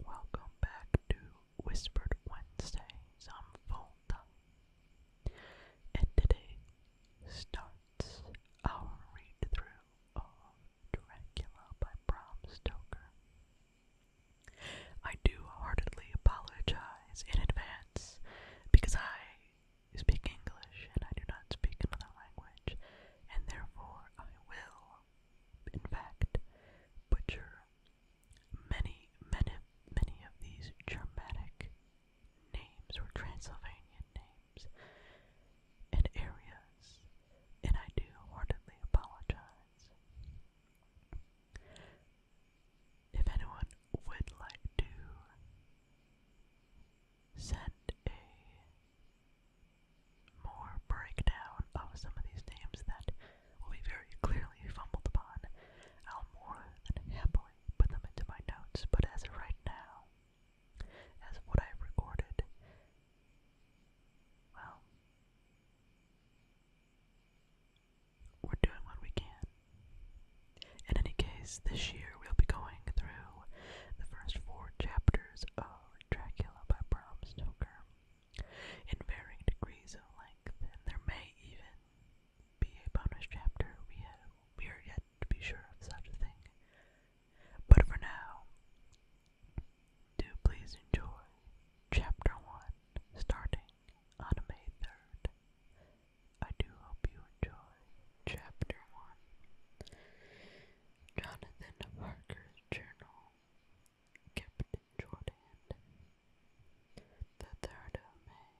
Welcome back to Whispered Wednesdays. i Volta, and today starts our read through of Dracula by Bram Stoker. I do heartily apologize in advance because I speak English and I do not speak another language, and therefore I will in fact, butcher many, many, many of these Germanic names or Transylvanian names and areas, and I do heartedly apologize. If anyone would like to send a more breakdown of some of these names that will be very clearly fumbled upon. I'll more than happily put them into my notes, but as of right now, as of what I've recorded, well, we're doing what we can. In any case, this year we'll be going through the first four chapters of Dracula by Bram Stoker, in varying degrees of length, and there may even be a bonus chapter. We, have, we are yet to be sure of such a thing. But for now, do please enjoy Chapter 1, starting on May 3rd. I do hope you enjoy Chapter 1. Jonathan Parker's Journal Captain Jordan, the third of May,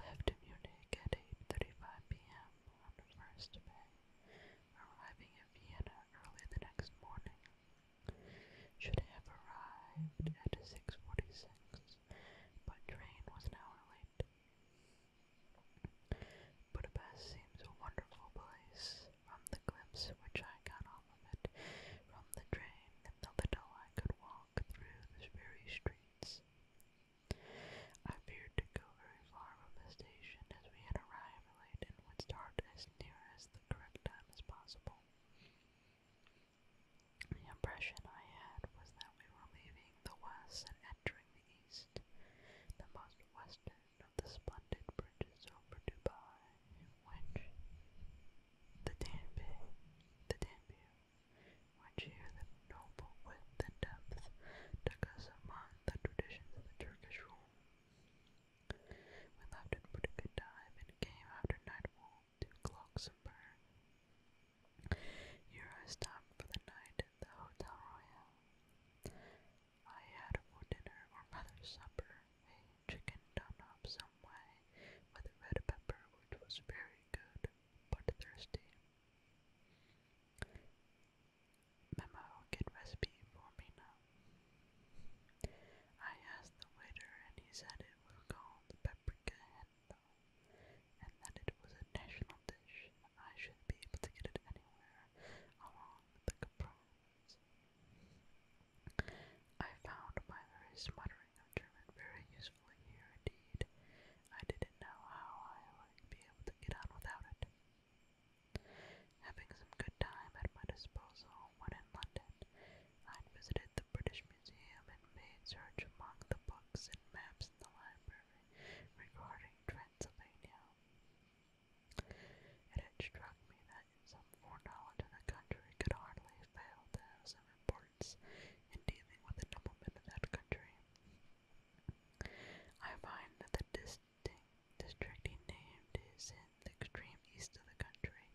left Munich at 8:35 p.m. on the first May, arriving in Vienna early the next morning. Should have arrived at 6:46, but train was an hour late. Budapest seems a wonderful place, from the glimpse which I got off of it from the train and the little I could walk through the very streets. I feared to go very far from the station as we had arrived late and would start as near as the correct time as possible. The impression I had was that we were leaving the west and entering the east, the most western of the splendid bridges over Dubai, which the Danube, the Danube, which here the noble width and depth the us the traditions of the Turkish rule. We left at pretty good time and came after nightfall to Glucksenburg. Here I stopped for the night at the Hotel Royal, I had for dinner or rather supper a chicken done up some way with red pepper, which was very good but thirsty. Memo, get recipe for me now. I asked the waiter, and he said it was called paprika hendo, and that it was a national dish I should be able to get it anywhere along the compartments. I found my very smuttering of German very useful here indeed. I didn't know how I would be able to get on without it. Having some good time at my disposal when in London, I visited the British Museum and made search among the books and maps in the library regarding Transylvania. It had struck me that in some foreknowledge of the country could hardly fail to have some importance in dealing with the noblemen of that country. I find that the distinct district he named is in the extreme east of the country,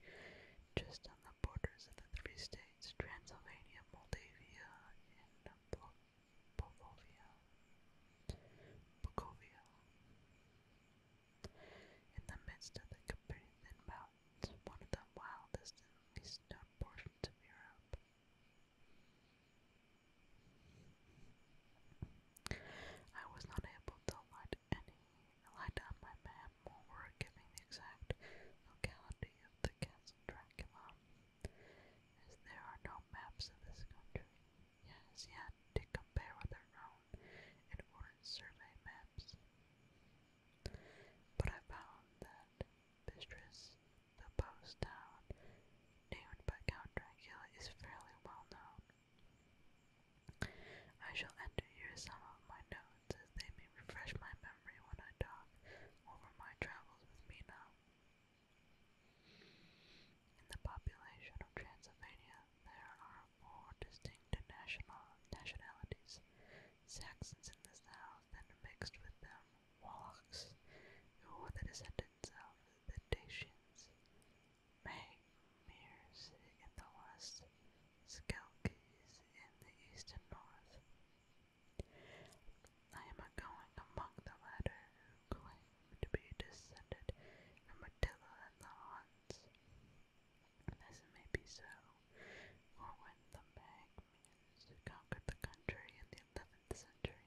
just on the borders of the three states, Transylvania, Moldavia, and Bukovia, Bukovia. In the midst of the Carpathian Mountains, one of the wildest and least known portions of Europe. I was not able to light any light on my map or giving the exact locality of the castle Dracula as there are no maps of this country. Yet as yet to compare with our own and foreign survey maps. But I found that Bistris, the post town named by Count Dracula, is fairly well known. I shall enter here some of my notes as they may refresh my memory when I talk over my travels with Mina. In the population of Transylvania, there are more distinct national nationalities. Saxons in the south, and mixed with them Wallachs, who were the descendants of the Dacians, Magmirs in the west, Skelkies in the east and north. I am going among the latter who claim to be descended from Attila and the Huns. This may be so, for when the Magmians conquered the country in the eleventh century,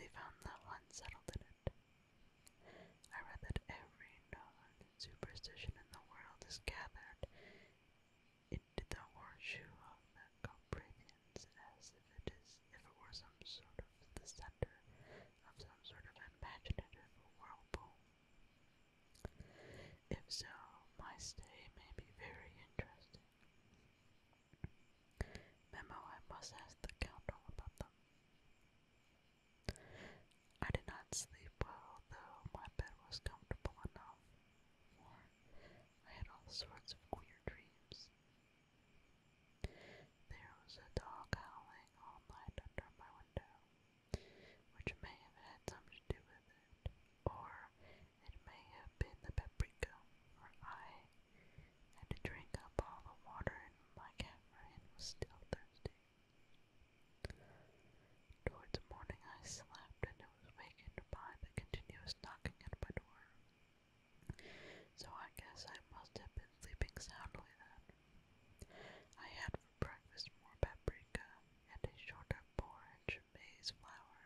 they found the Huns settled in it. I read that every known superstition in the world is gathered into the horseshoe of the Coprithia. Athens as if it is if it were some sort of the center of some sort of imaginative whirlpool. If so, my stay may be very interesting. Memo, I must ask the count all about them. I did not sleep well, though my bed was comfortable enough, for I had all sorts of queer dreams. There was a dog howling all night under my window, which may have had something to do with it, or it may have been the paprika, for I had to drink up all the water in my camera and was still thirsty. Towards morning I slept and was wakened by the continuous knocking at my door. So I guess I must have been sleeping soundly then. I had for breakfast more paprika and a shorter porridge of maize flour,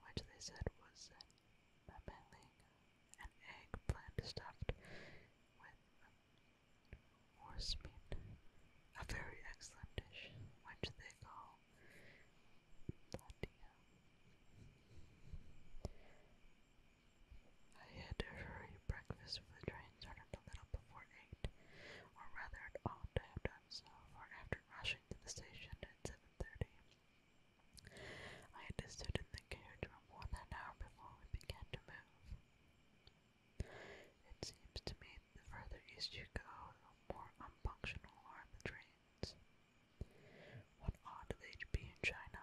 which they said was a meling, an egg plant stuffed with horse meat, a very excellent dish, which they call platia. I had to hurry. Breakfast for the train started a little before eight, or rather it ought to have done so, for after rushing to the station at seven thirty, I had to sit in the carriage for more than an hour before we began to move. It seems to me that the further east you go, the more unfunctional are the trains. What ought they to be in China?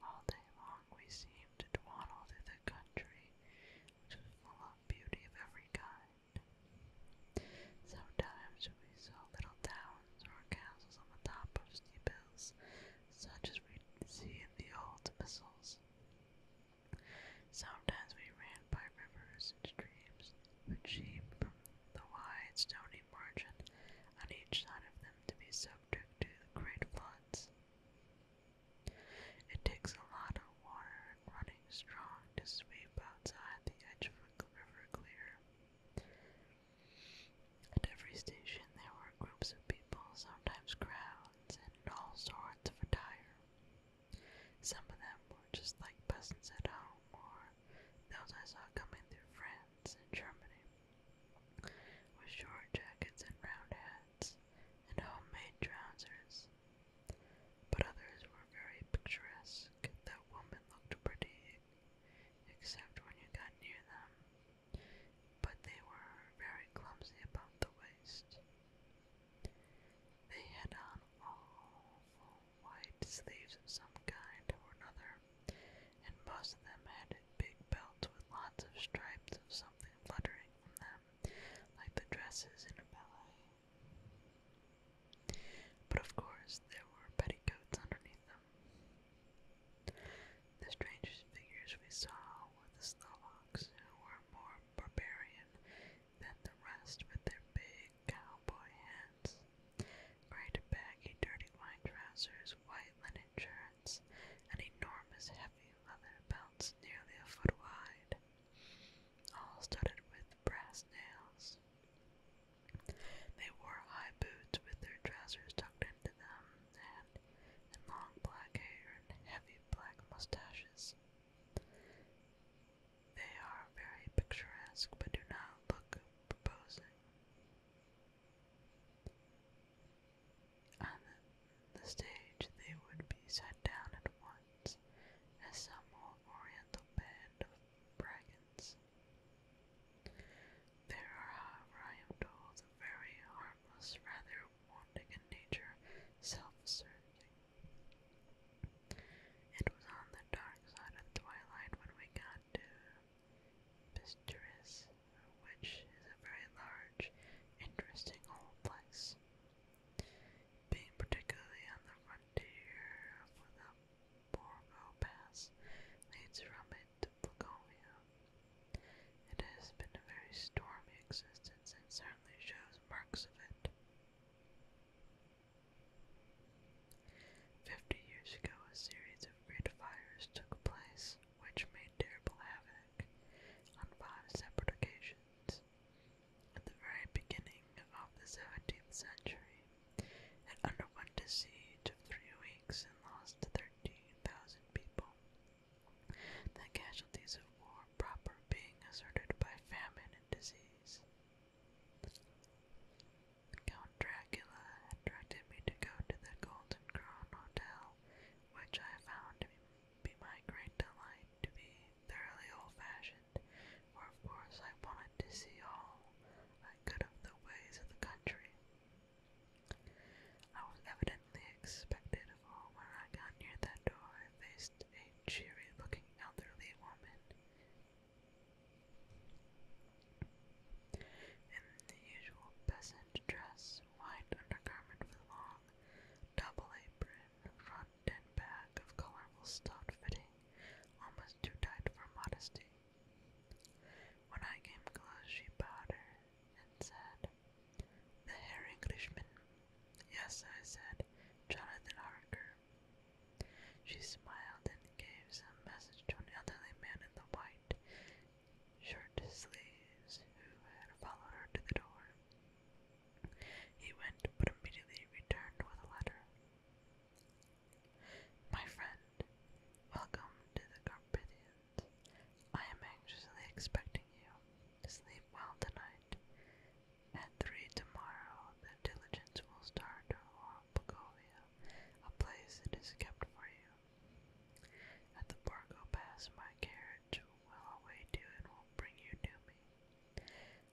All day long we seemed to dawdle through the country, which was full of beauty of every kind. Sometimes we saw little towns or castles on the top of steep hills, such as we see in the old epistles. Sometimes we ran by rivers and streams, with sheep the wide stony margin on each side of them to be subject to the great floods. It takes a lot of water and running strong to sweep outside the edge of a river clear. At every station there were groups of people, sometimes crowds, and all sorts of attire. Some of them were just like peasants at home, or those I saw coming through France in Germany, with short jackets and round hats, and homemade trousers. But others were very picturesque, that woman looked pretty, except when you got near them, but they were very clumsy about the waist. They had on all white sleeves of some kind or another, and most of them had big belts with lots of stripes of something fluttering from them, like the dresses in a ballet. But of course, there were petticoats underneath them. The strangest figures we saw were the Slovaks, who were more barbarian than the rest with their big cowboy Great baggy, dirty white trousers, white linen shirts, and enormous heavy leather belts nearly a foot wide, all studded with brass nails. They wore high boots with their trousers tucked into them, and, long black hair and heavy black mustaches. They are very picturesque, but do not look imposing. On the stage, they would be set down at once as some old oriental band of dragons. There are, however, I am told, very harmless, rather wanting in nature, self-serving. It was on the dark side of twilight when we got and uh, Pistoris, which is a very large, interesting old place, being particularly on the frontier for the Borgo Pass leads from it to Plagovia. It has been a very stormy existence and certainly shows marks of it. Fifty years ago, a series of great fires took place, which made terrible havoc on five separate occasions. At the very beginning of the 17th century, it underwent a siege of three weeks and lost 13,000 people. The casualties of war proper being asserted by famine and disease. Count Dracula had directed me to go to the Golden Crown Hotel, which I found to be my great delight to be thoroughly old-fashioned, for of course I wanted to see all I could of the ways of the country. I was evidently expected of all when I got near that door I faced a cheery-looking elderly woman. In the usual peasant dress, white undergarment with long double apron, front and back of colorful stuff fitting, almost too tight for modesty. When I came close, she bowed her and said, The Herr Englishman. Yes, I said, Jonathan Harker. She smiled and gave some message to an elderly man in the white Short Sleeves, who had followed her to the door. He went, but immediately returned with a letter. My friend, welcome to the Carpathians. I am anxiously expecting you. Sleep well tonight. At three tomorrow, the diligence will start for Pacovia, a place it is kept for you. At the park I'll my carriage, well I'll and will bring you to me.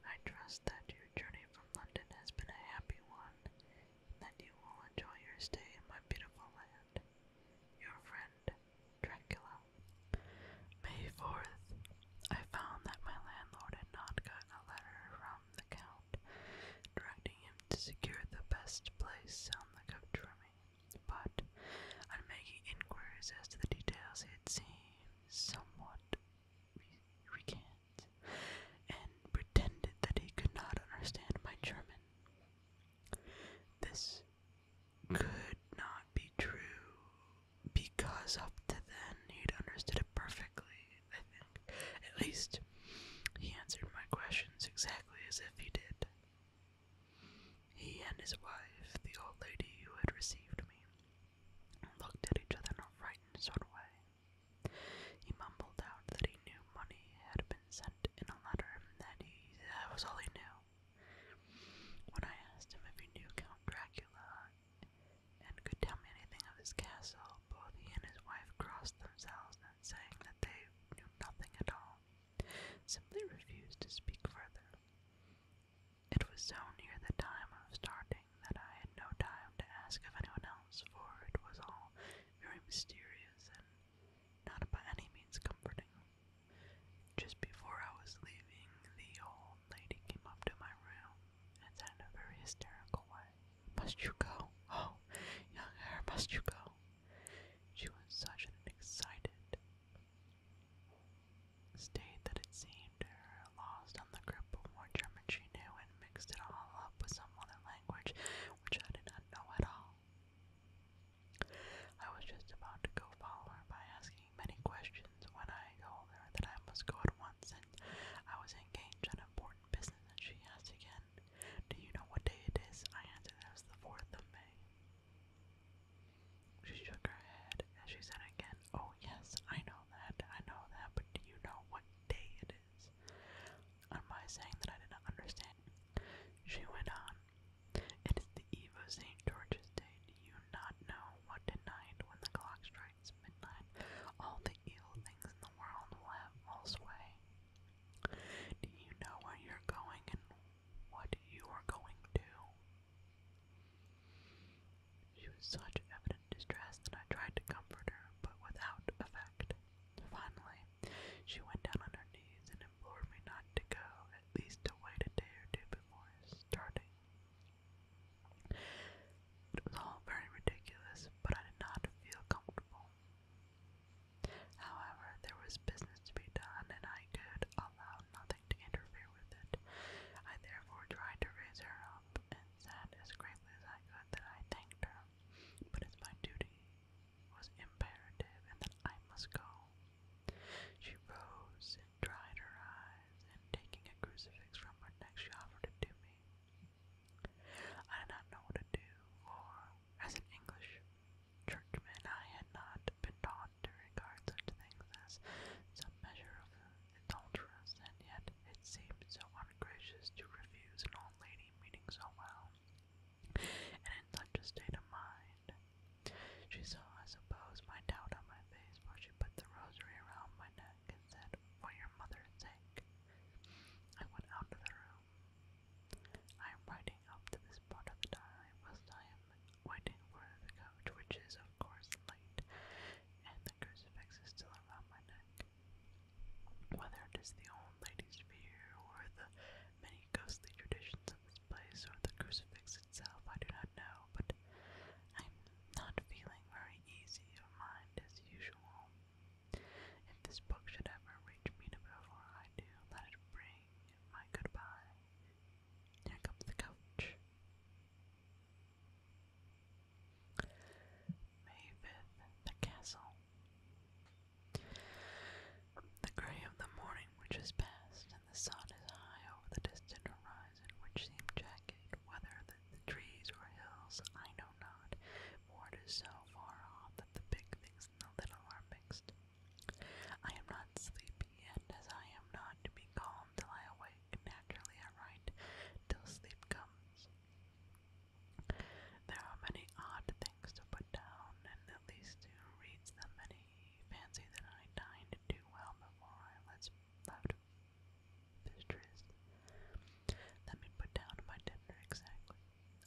I trust that your journey from London has been a happy one, and that you will enjoy your stay in my beautiful land. Your friend, Dracula. May 4th. I found that my landlord had not gotten a letter from the Count, directing him to secure the best place on the coach for me, but on making inquiries as to the details, it seemed somewhat recant and pretended that he could not understand my German. This could not be true because up to then he'd understood it perfectly, I think. At least he answered my questions exactly as if he did. He and his wife, the old lady who had received me, looked at each other in a frightened sort of way. He mumbled out that he knew money had been sent in a letter, and that was all he knew. When I asked him if he knew Count Dracula and could tell me anything of his castle, both he and his wife crossed themselves saying that they knew nothing at all, simply refused to speak further. It was so near the time of starting that I had no time to ask of anyone else, for it was all very mysterious and not by any means comforting. Just before I was leaving, the old lady came up to my room and said in a very hysterical way, Must you go? Oh, young heir, must you go? She was such an excited state that it seemed her lost on the grip of more German she knew and mixed it all up with some other language which I did not know at all. I was just about to go follow her by asking many questions when I told her that I must go at once and I was engaged on important business and she asked again, Do you know what day it is? I answered it was the 4th of May. She shook her head as she said again, Oh, yes, I know that, I know that, but do you know what day it is? On my saying that I did not understand, she went on, It is the eve of St. George's Day. Do you not know what tonight, when the clock strikes midnight, all the evil things in the world will have all sway? Do you know where you're going and what you are going to? She was such evident distress that I tried to comfort her, but without effect. Finally, she went down on her knees and implored me not to go, at least to wait a day or two before starting. It was all very ridiculous, but I did not feel comfortable. However, there was business to be done, and I could allow nothing to interfere with it. I therefore tried to raise her up, and said as gravely as I could that I thanked her, but as my duty was imperative and that I must go. She rose and dried her eyes, and taking a crucifix from her neck, she offered it to me. I did not know what to do, or, as an English Churchman, I had not been taught to regard such things as some measure of adulteress, and yet it seemed so ungracious to refuse an old lady meaning so well, and in such a state of mind. She saw, I suppose, my doubt on my face, for she put the rosary around my neck and said, For your mother's sake. I went out of the room. I am writing up to this part of the time, whilst I am waiting for the coach, which is of course late, and the crucifix is still around my neck. Whether it is the old lady's fear, or the many ghostly traditions of this place, or the crucifix itself, I do not know, but I am not feeling very easy of mind as usual. If this book should ever reach me before I do, let it bring my goodbye. Here comes the coach. May 5th, the castle. The grey of the morning which has passed, and the sun is high over the distant horizon, which seemed jagged, whether the, the trees or hills, I know not, board is so far off that the big things and the little are mixed. I am not sleepy, and as I am not to be calm till I awake, naturally I write till sleep comes. There are many odd things to put down, and at least who reads them and he fancy that I dined too well before I left Mistress. Let me put down my dinner exactly.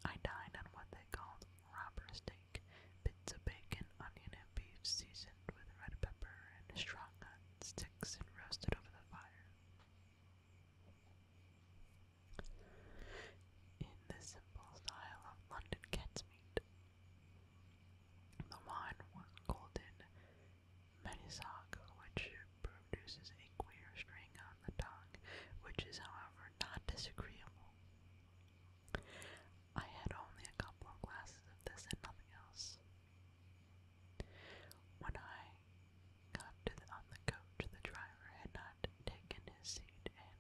I dined on what they called robber's steak, bits of bacon, onion, and beef seasoned with red pepper and strong on sticks and roasted over the fire. In the simple style of London cat's meat, the wine was golden Menisoc, which produces a queer string on the tongue, which is, however, not disagreeable. I had only a couple of glasses of this and nothing else. When I got to the, on the coach, the driver had not taken his seat, and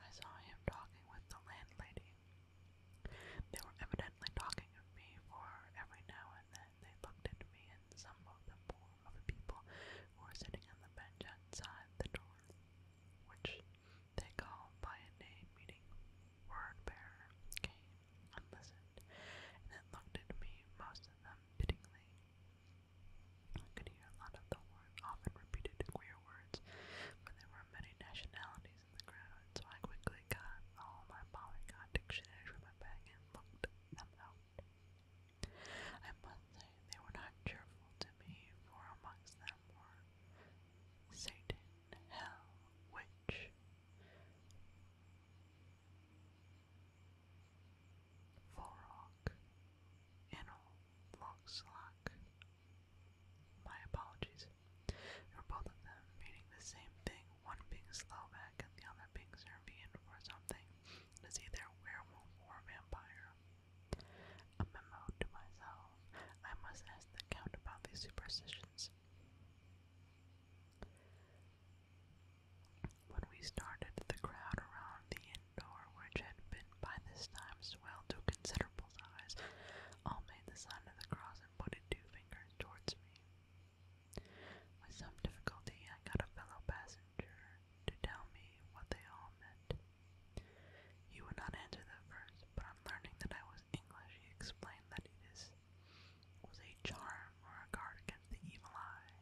I saw him talking with the landlady. They were evidently talking of me, for every now and then they looked at me and some of the poor other people who were sitting on the bench outside the door power, which they called by a name meaning word bearer, came and listened, and then looked at me, most of them pityingly. I could hear a lot of the word often repeated queer words, for there were many nationalities in the crowd, so I quickly got all my polyglot dictionaries from my bag and looked them out. I must say they were not cheerful to me, for amongst them were Satan, Hell, Witch, Forok, Innel, Lockslack. My apologies. They were both of them meaning the same thing, one being Slovak and the other being Serbian for something. It is either a werewolf or a vampire. A memo to myself. I must ask the count about these superstitions. When we started, the crowd around the inn door, which had been by this time swelled to considerable size, all made the sign of the cross and pointed two fingers towards me. With some difficulty, I got a fellow passenger to tell me what they all meant. You would not answer that first, but on learning that I was English, he explained that it is was a charm or a guard against the evil eye.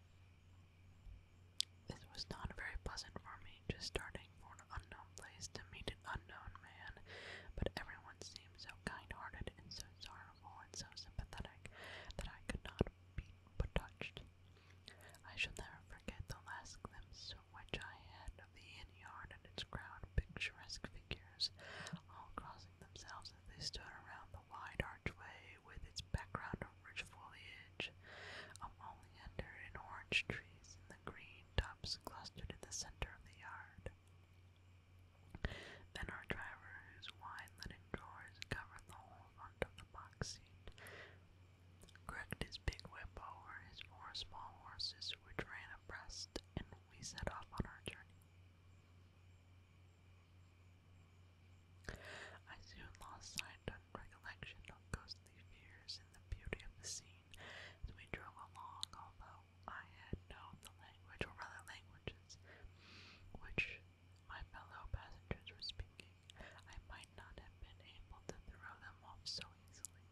This was not very pleasant for me, just starting for an unknown place to meet an unknown man, but everyone seemed so kind-hearted and so sorrowful and so sympathetic that I could not be but touched. I shall never forget the last glimpse which I had of the inn yard and its crowd of picturesque figures, all crossing themselves as they stood around the wide archway with its background of rich foliage, of oleander and orange tree, and the green tops clustered in the center of the yard. Then our driver, whose wide linen drawers covered the whole front of the box seat, Cracked his big whip over his four small horses, which ran abreast, and we set off on our journey. I soon lost sight and recollection of ghostly fears in the beauty of the scene as we drove along, although I had known the language, or languages, which my fellow passengers were speaking. I might not have been able to throw them off so easily.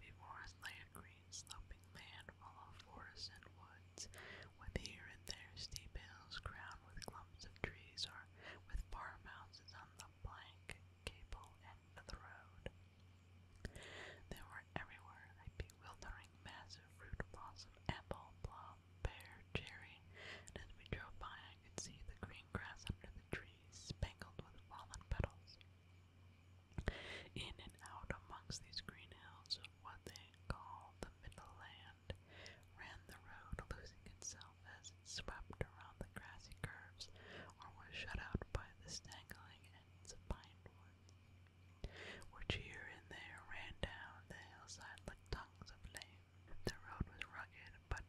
Before us lay a green sloping land full of forests and woods, with here and there steep hills crowned with clumps of trees or with farmhouses on the blank gable end of the road. There were everywhere a bewildering mass of fruit blossom, apple, plum, pear, cherry, and as we drove by I could see the green grass under the trees spangled with fallen petals. In and out amongst these green hills of what they called the middle land ran the road, losing itself as it swept around the grassy curves or was shut out by the straggling ends of pine woods, which here and there ran down the hillside like tongues of flame. The road was rugged, but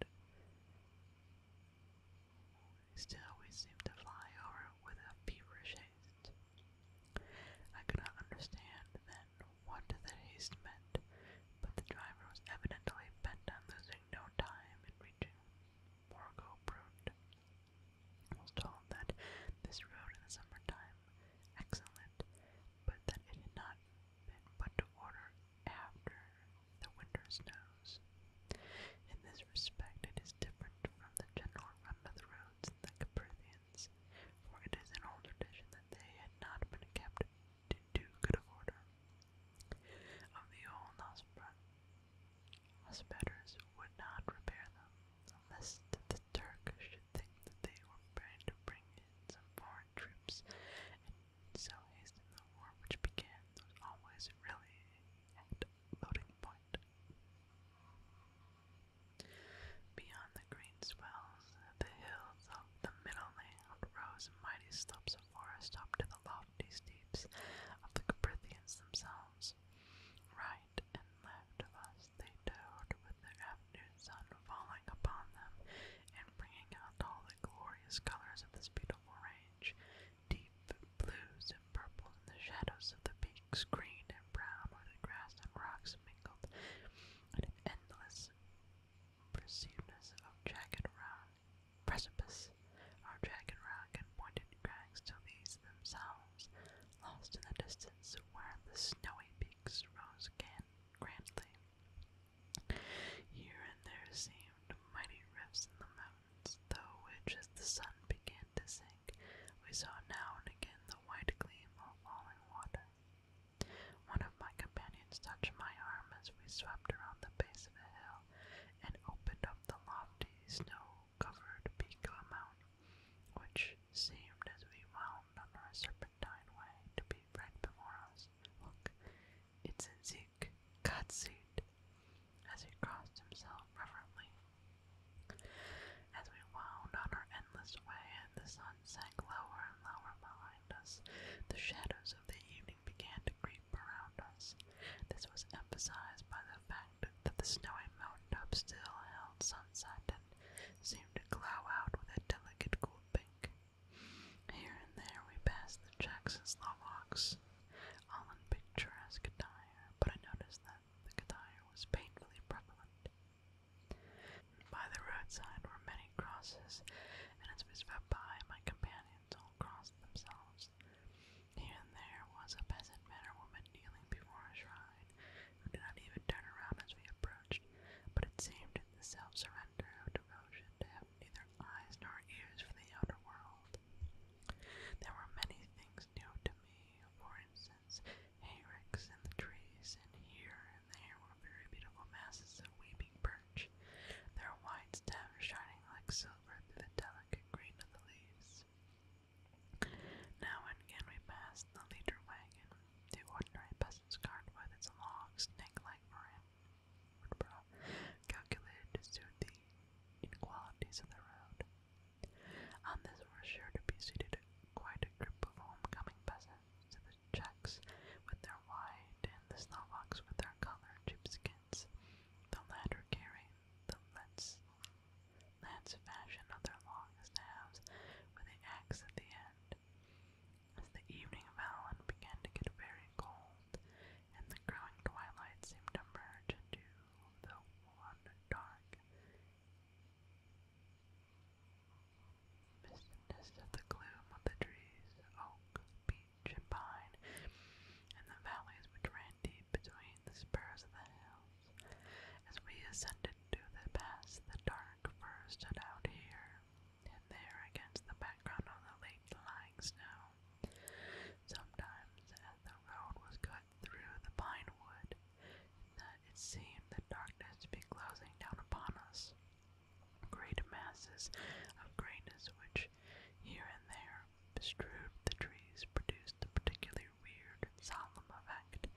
still we seemed to fly over it with a feverish haste. I could not understand then what that haste meant, but the driver was evidently bent on losing no time in reaching Borgo Brund. I was told that this road in the summertime excellent, but that it had not been put to order after the winter snows. In this respect, it is different from the general run of the roads in the Caprithians, for it is an old tradition that they had not been kept to too good of order. Of the old hospiters would not repair them, unless the Turk should think that they were trying to bring in some foreign troops so haste in the war which began was always really at voting point. Beyond the green swells, the hills of the middle land rose mighty slopes of forest up to the lofty steeps of the Caprithians themselves. Right and left of us they towed with the afternoon sun falling upon them and bringing out all the glorious colors of this beautiful autumn orange, deep blues and purple, and the shadows of the peaks, green and brown, where the grass and rocks mingled, and an endless perceivedness of jagged rock precipice, or jagged rock and pointed crags till these themselves, lost in the distance, where the snowy peaks rose again grandly. Here and there seemed mighty rifts in the mountains, through which, as the sun began to sink, we saw now and again the white gleam of falling water. One of my companions touched my arm as we swept around the base of a hill and opened up the lofty, snow-covered peak of a mountain, which seemed, as we wound on our serpentine way, to be right before us. Look, it's in Z. Isaac, Godsuit, as he crossed himself reverently. As we wound on our endless way and the sun sank lower and lower behind us, the shadows of the evening began to creep around us. This was emphasized by the fact that the snowy mountaintop still held sunset and seemed to glow out with a delicate cool pink. Here and there we passed the Czechs and Slovaks, all in picturesque attire, but I noticed that the attire was painfully prevalent. By the roadside were many crosses, and as we swept by, my companions all crossed themselves. Here and there was a peasant man or woman kneeling before a shrine, who did not even turn around as we approached, but it seemed in the self surrounding surrender of devotion to have neither eyes nor ears for the outer world. There were many things new to me, for instance, hayricks in the trees, and here and there were very beautiful masses of weeping birch, their white stems shining like silver through the delicate green of the leaves. Now and again we passed the leader wagon, the ordinary peasant's cart with its long, snake-like brim calculated to suit the inequalities of the road. On this were sure to be seated quite a group of homecoming peasants, to the Czechs with their white, and the Slovaks with their color sheepskins, the latter carrying the lance, lance fashion of their long staves with the axe at the end. As the evening of and began to get very cold, and the growing twilight seemed to merge into the one dark mistiness of the gloom of the trees, oak, beech, and pine, and the valleys which ran deep between the spurs of the hills. As we ascended to the pass, the dark fir stood out here and there against the back background on the lake lying snow. Sometimes, as the road was cut through the pine wood, that it seemed the darkness to be closing down upon us. Great masses of grayness, which here and there bestrewed the trees, produced a particularly weird and solemn effect,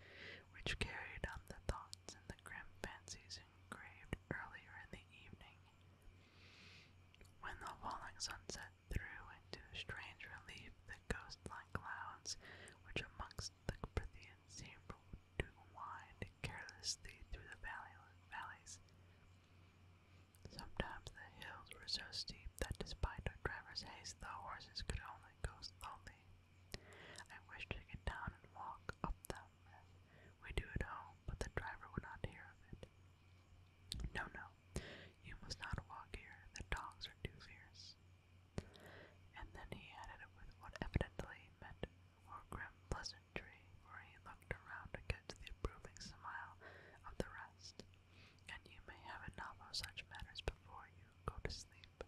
which carried on the thoughts and the grim fancies engraved earlier in the evening. When the falling sunset threw into strange relief the ghost-like clouds which amongst the Prithian seemed to wind carelessly through the valley valleys. Sometimes the hills were so steep that despite our driver's haste the horses could only go slowly. I wished to get down and walk up them as we do at home, but the driver would not hear of it. No, no, you must not walk here. The dogs are too fierce. And then he added it with what evidently meant for grim pleasantry, for he looked around to get the approving smile of the rest. And you may have enough of such matters before you go to sleep.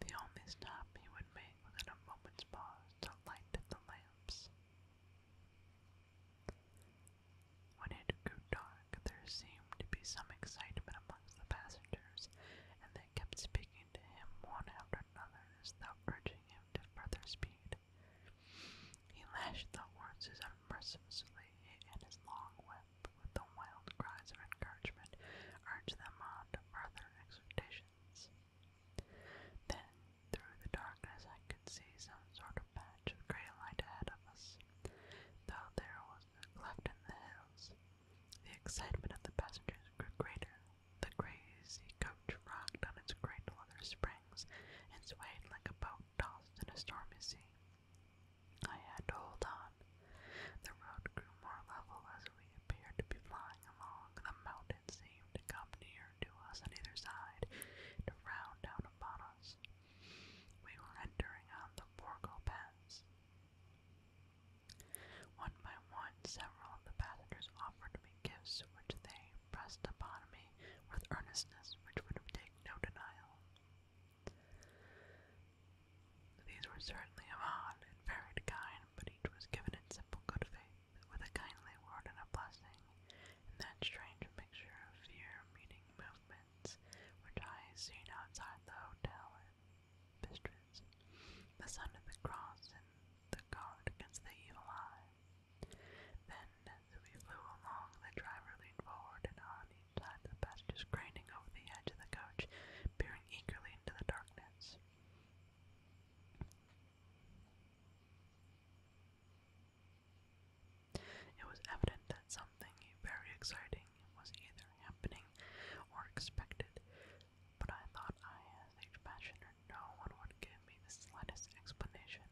The only stop he would make was at a moment's pause to light the lamps. When it grew dark, there seemed to be some excitement amongst the passengers, and they kept speaking to him one after another as though urging him to further speed. He lashed the horses unmercifully, and his long whip, with the wild cries of encouragement, urged them on to further exhortations. Then, through the darkness, I could see some sort of patch of grey light ahead of us, though there was a cleft in the hills. The excitement of the passengers grew greater. The crazy coach rocked on its great leather springs and swayed like a boat tossed in a stormy sea. I had to hold on. The road grew more level as we appeared to be flying along the mountain sea to come near to us on either side, to round down upon us. We were entering on the Borgo Pass. One by one, several of the passengers offered me gifts which they pressed upon me with earnestness which would take no denial. These were certainly of odd and varied kind, but each was given in simple good faith with a kindly word and a blessing, and that strange mixture of fear meaning, movements which I had seen outside the hotel and bistros, the sign of the cross and the guard against the evil eye. Then, as we flew along, the driver leaned forward and on each side the passengers craning over the edge of the coach, peering eagerly into the darkness. It was evident that something very exciting was either happening or expected, but I thought I, as a passioner, no one would give me the slightest explanation.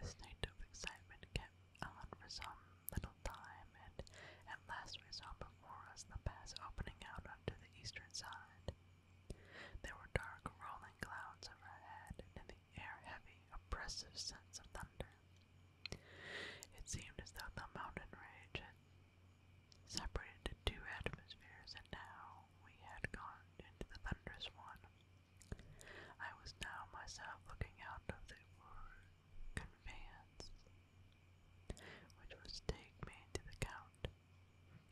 This state of excitement kept on for some little time, and at last we saw before us the pass opening out onto the eastern side. There were dark rolling clouds overhead and the air heavy, oppressive sense of thunder. It seemed as though the mountain range had separated into two atmospheres, and now we had gone into the thunderous one. I was now myself looking out of the conveyance, which was to take me to the count.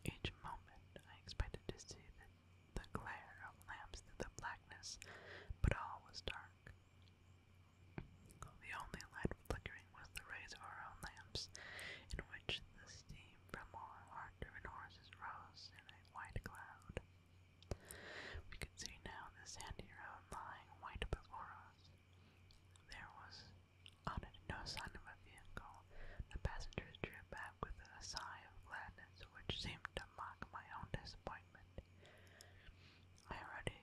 Each moment I expected to see the the glare of lamps through the blackness, but all was dark. The only light flickering was the rays of our own lamps, in which the steam from our driven horses rose in a white cloud. We could see now the sandy road lying white before us. There was on it no sign of a vehicle, well. The passengers drew back with a sigh of gladness which seemed to mock my own disappointment. I already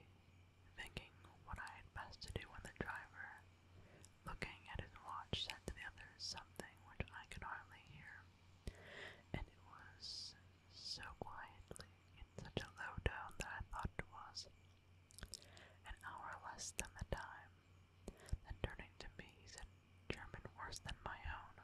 thinking what I had best to do when the driver, looking at his watch, said to the others something which I could hardly hear. And it was so quietly, in such a low tone that I thought it was an hour less than the time then turning to me, he said, German worse than my own.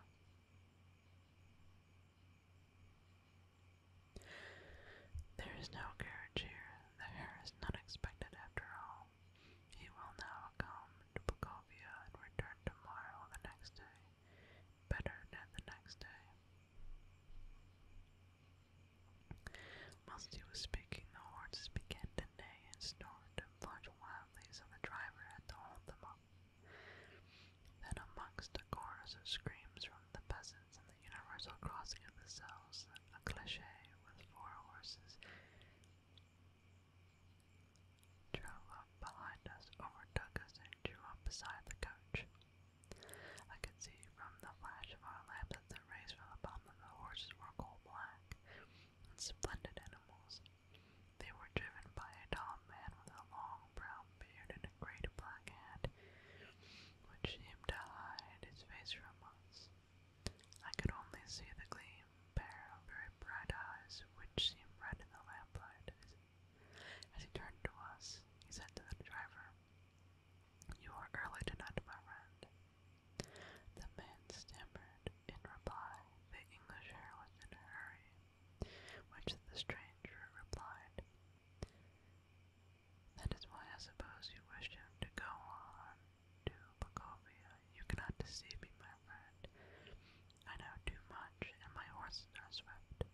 There is no carriage here. The hare is not expected after all. He will now come to Bukovia and return tomorrow or the next day. Better than the next day. Whilst he was speaking, the horses began to neigh and snort and flash wild badly, so the driver had to hold them up. Then, amongst a chorus of screams from the peasants and the universal crossing of the cells, a cliche with four horses drove up behind us, overtook us, and drew up beside the coach. I could see from the flash of our lamp that the rays from the bottom of the horses were coal black and splendid animals. They were driven by a tall man with a long brown beard and a great black hat, which seemed to hide his face from us. I could only see the gleam, pair of very bright eyes, which seemed red in the lamplight. As he turned to us, he said to the driver, You are early tonight, my friend. The man stammered, in reply the English was in a hurry, which the stranger replied, That is why I suppose you wished him to go on to Bakovia. You cannot deceive me, my friend. I know too much, and my horses are swift.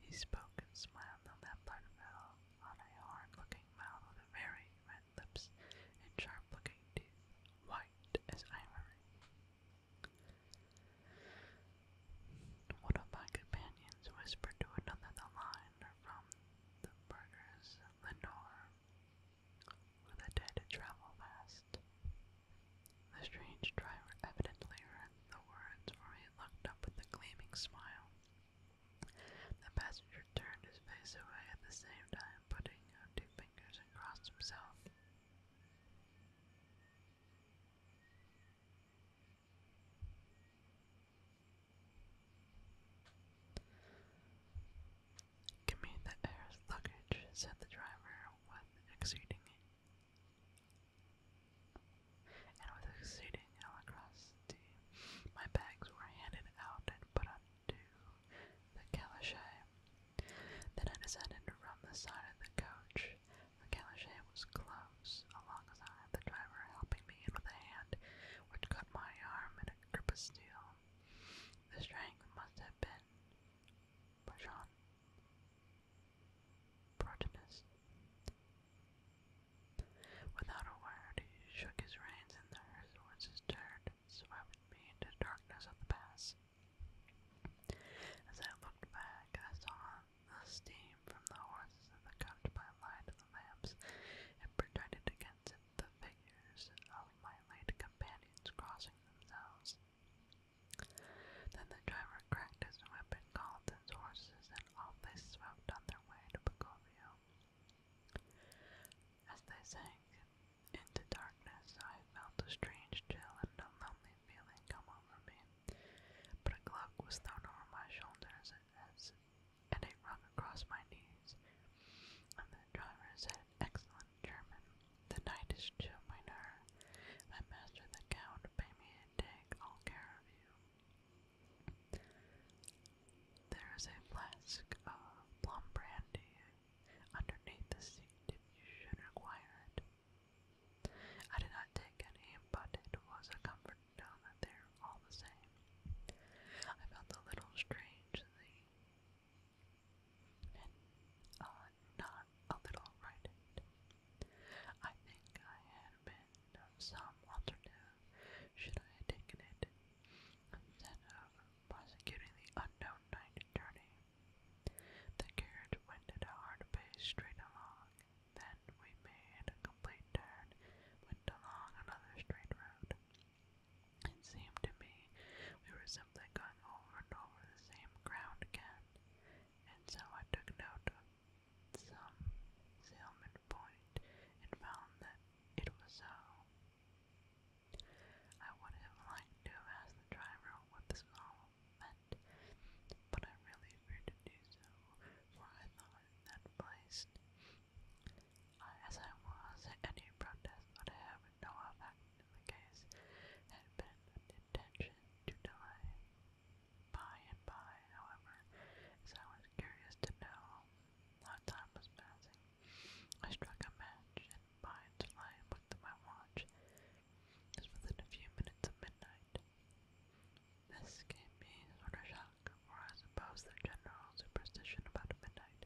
He spoke and smiled, and that blood fell on a hard-looking mouth with very red lips and sharp-looking teeth white as ivory. One of my companions whispered to another the line from the burghers Lenore, who the dead travel fast. The strange driver evidently heard the words, for he looked up with a gleaming smile. The passenger turned his face away at the same time, putting out two fingers and crossed himself. Give me the air's luggage, said the driver with exceeding and with exceeding electricity, my bags were handed out and put on to the caliche. Then I decided to run the side of the coach. The caliche was close alongside the driver, helping me in with a hand which cut my arm in a grip of steel. The strength must have been Bajan Protinus. Without a word, he shook his reins, and the horse's turned, swept me into the darkness of the pass. As I looked back, I saw the steam from the horses in the coach by light of the lamps and projected against it the figures of my late companions crossing themselves. Then the driver cracked his whip and called his horses, and off they swept on their way to Bogovio. As they sank into darkness, I felt a strange chill and lonely feeling come over me. But a cloak was thrown over my shoulders and a rug across my knees. And the driver said, Excellent German, the night is chill, Miner. My master, the count, pay me and take all care of you. There is a flask of plum brandy underneath the seat if you should require it. I did not take any, but it was a comfort to know that they were all the same. I felt a little strangely and uh, not a little frightened. I think I had been of some alternative should I have taken it instead of prosecuting the unknown night journey. The carriage went at a hard pace straight along. Then we made a complete turn, went along another straight road. It seemed to me we were simply going over and over the same ground again, and so I took note of some salmon point and found that it was so. I would have liked to have asked the driver what this all meant, but I really agreed to do so, for I thought that place, as I was, any protest would have no effect in the case, had been an intention to delay. By and by, however, as I was curious to know time was passing, I struck a match and mind and I looked at my watch. It within a few minutes of midnight. This gave me sort of shock, for I suppose general superstition about midnight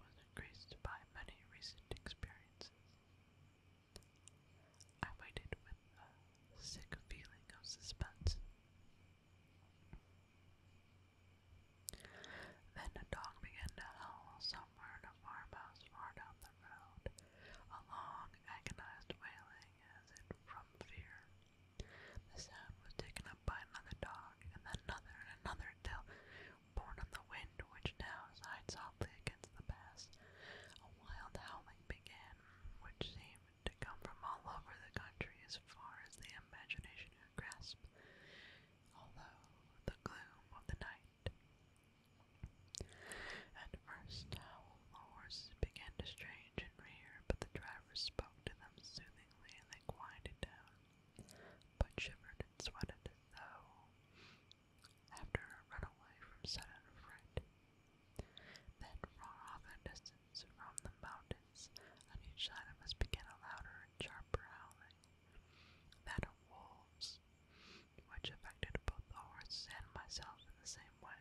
was increased by many recent experiences. I waited with a sick feeling of suspense. Then a dog began to howl so murmur in a farmhouse far down the road, a long, agonized wailing as if from fear. The sound was taken up by another dog, and then another and another, till, borne on the wind which now sighed softly against the pass, a wild howling began, which seemed to come from all over the country as far as the imagination could grasp. Although the gloom of the night at first, howl the horses began to strange and rear, but the driver spoke to them soothingly and they quieted down, but shivered and sweated as though after a runaway from sudden fright. Then, far off in the distance from the mountains, on each side of us began a louder and sharper howling, that of wolves which affected both the horse and myself in the same way.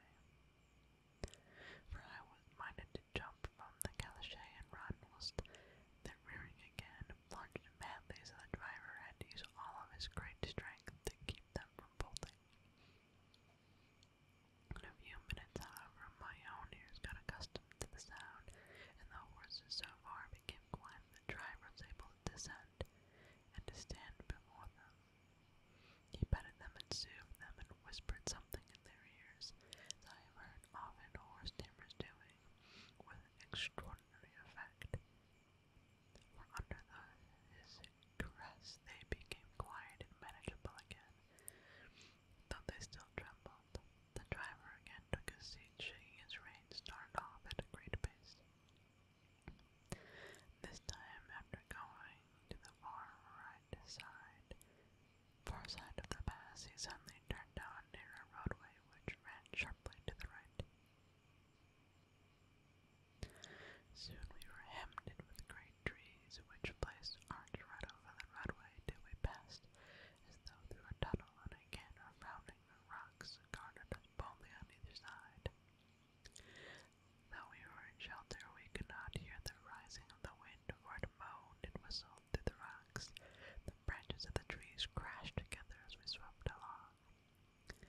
For I was minded to jump from the caliche and run, whilst the rearing again plunged madly, so the driver had to all of his great strength to keep them from bolting. In a few minutes, however, my own ears got accustomed to the sound, and the horses so far became quiet the driver able people descend and to stand before them. He petted them and soothed them and whispered something in their ears, as I have heard often horse tamers doing, with extraordinary effect. For under the, his caress they became quiet and manageable again, though they still trembled. The driver again took his seat, shaking his reins, started off at a great pace. This time, after going to the far right side, far side of the pass, he suddenly turned down near a roadway which ran sharply to the right. Soon we were hemmed in with great trees, which placed arch right over the roadway till we passed as though through a tunnel and again are found surrounding rocks guarded boldly on either side. Though we were in shelter, we could not hear the rising of the wind, for it moaned and whistled through the rocks. The branches of the trees crashed together as we swept along. It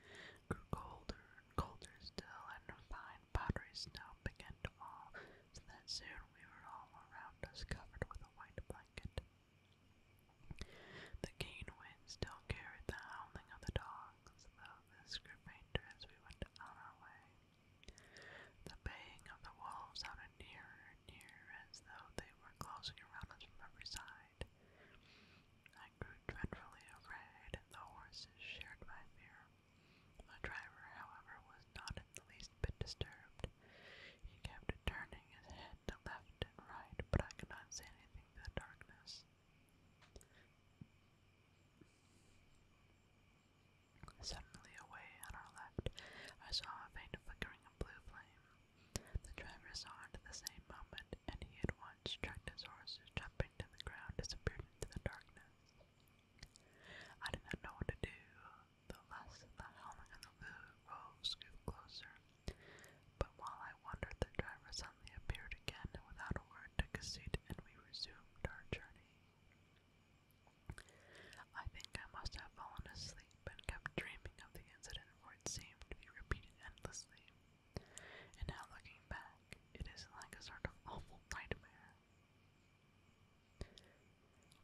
grew colder and colder still, and fine powdery snow began to fall, so that soon we were all around us covered with a white blanket. The keen wind still carried the howling of the dogs, though this grew fainter we went on our way. The baying of the wolves sounded nearer and nearer, as though they were closing around us from every side. I grew dreadfully afraid, and the horses shared my fear. The driver, however, was not in the least bit disturbed. He kept turning his head to left and right, but I could not say anything Suddenly, away on our left, I saw a faint flickering of blue flame. The driver saw it at the same moment, and he at once checked his horse, jumping to the ground, disappeared into the darkness. I did not know what to do. The last of the howling of the blue rose grew closer. But while I wondered, the driver suddenly appeared again and without a word took a seat and we resumed our journey. I think I must have fallen asleep and kept dreaming of the incident for it seemed to be repeated endlessly. And now looking back, it is like a sort of awful nightmare.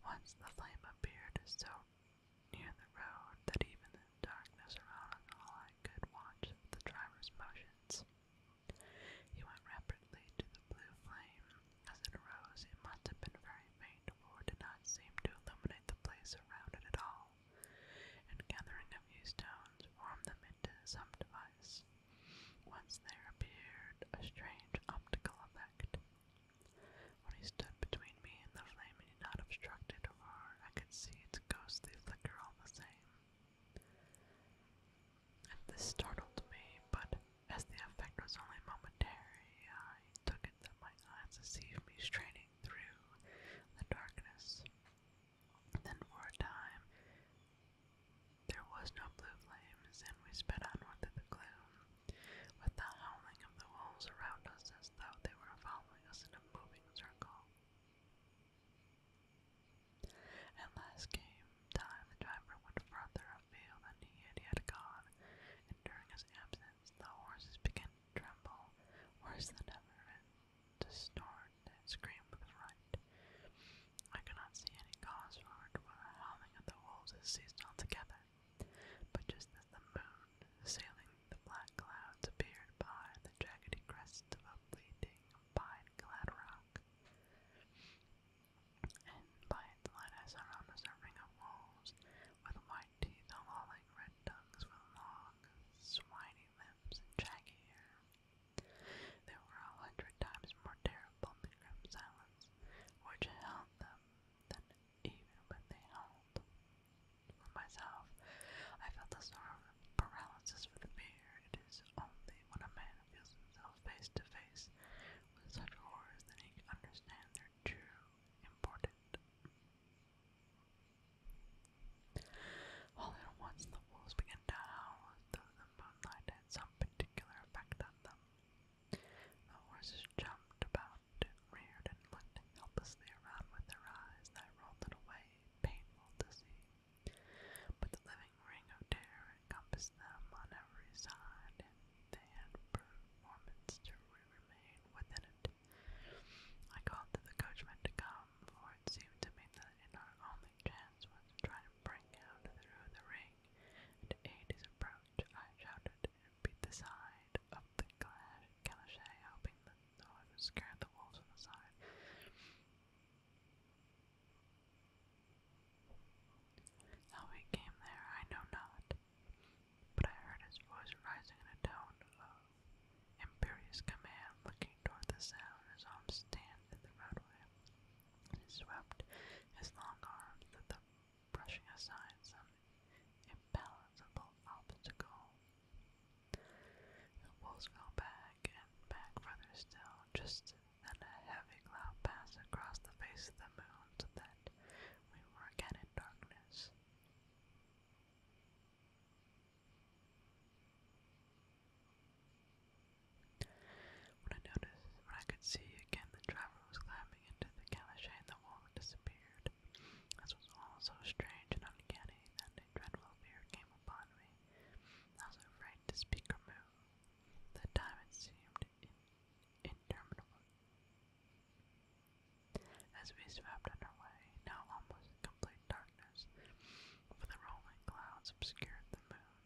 Once the flame appeared so near the road that even in the darkness around us all I could watch the driver's motions. He went rapidly to the blue flame. As it arose, it must have been very faint, for it did not seem to illuminate the place around it at all, and gathering a few stones formed them into some device. Once there appeared a strange optical effect. When he stood between me and the flame, not obstructed or I could see its ghostly flicker all the same. this startled me, but as the effect was only momentary, I took it that my eyes deceived me straining through the darkness. Then for a time there was no blue flames, and we sped onward through the gloom, with the howling of the wolves around us as though they were following us in a moving circle. At last came time the driver went further afield than he had yet gone, during his absence the horses began to tremble worse than ever, and to snort scream with fright. I could see any cause for it, for the howling of the wolves had ceased altogether. But just as the moon, sailing the black clouds appeared behind the jaggedy crest of a bleeding pine-clad rock, and by its light I saw a ring of wolves with white teeth all red tongues with long, swiny limbs and shaggy hair. They were a hundred times more terrible than grim silence, which held them than even when they howled myself. I felt a sort of paralysis with fear. It is only when a man feels himself face to face with such horrors that he can understand their true importance. All at once the wolves began to howl as though the moonlight had some particular effect on them. The horses jumped about, reared, and looked helplessly around with their eyes, and I rolled it away painful to see. But the living ring of terror encompassed them on every side, they had performance to remain within it. I called to the coachman to come, for it seemed to me that our only chance was to try to break out through the ring, and to aid his approach, I shouted and beat the side of the glass Canachay, hoping that no one the wolves on the side. How he came there, I know not, but I heard his voice rising in a tone of imperious command, looking toward the sound, his arms stand in the roadway, he swept his long arms through the brushing aside some imbalancable obstacle the wolves fell back and back further still. Just then a heavy cloud passed across the face of the moon so that we were again in darkness. When I noticed when I could see again the driver was climbing into the caliche and the wall disappeared. This was all so strange and uncanny that dreadful fear came upon me. I was afraid to speak or move. The time seemed interminable. As we swept on way, now almost complete darkness, for the rolling clouds obscured the moon,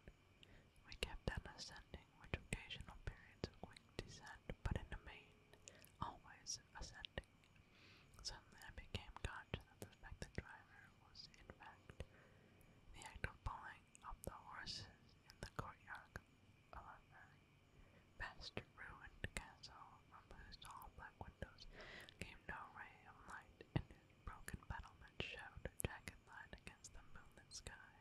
we kept on ascending with occasional periods of quick descent, but in the main, always ascending. Suddenly I became conscious of the fact driver was, in fact, the act of pulling up the horses in the courtyard a very vast ruined castle from whose tall black windows came no ray of light, and whose broken battlements showed jagged line against the moonlit sky.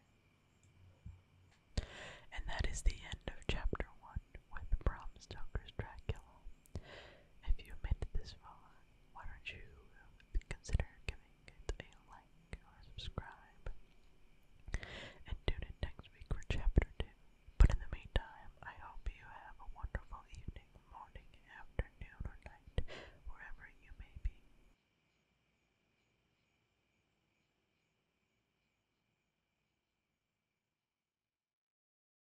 And that is the end of chapter one with Bram Stoker's Dracula. If you made it this far, why don't you consider giving it a like or subscribe? And tune in next week for chapter 2. But in the meantime, I hope you have a wonderful evening, morning, afternoon, or night, wherever you may be.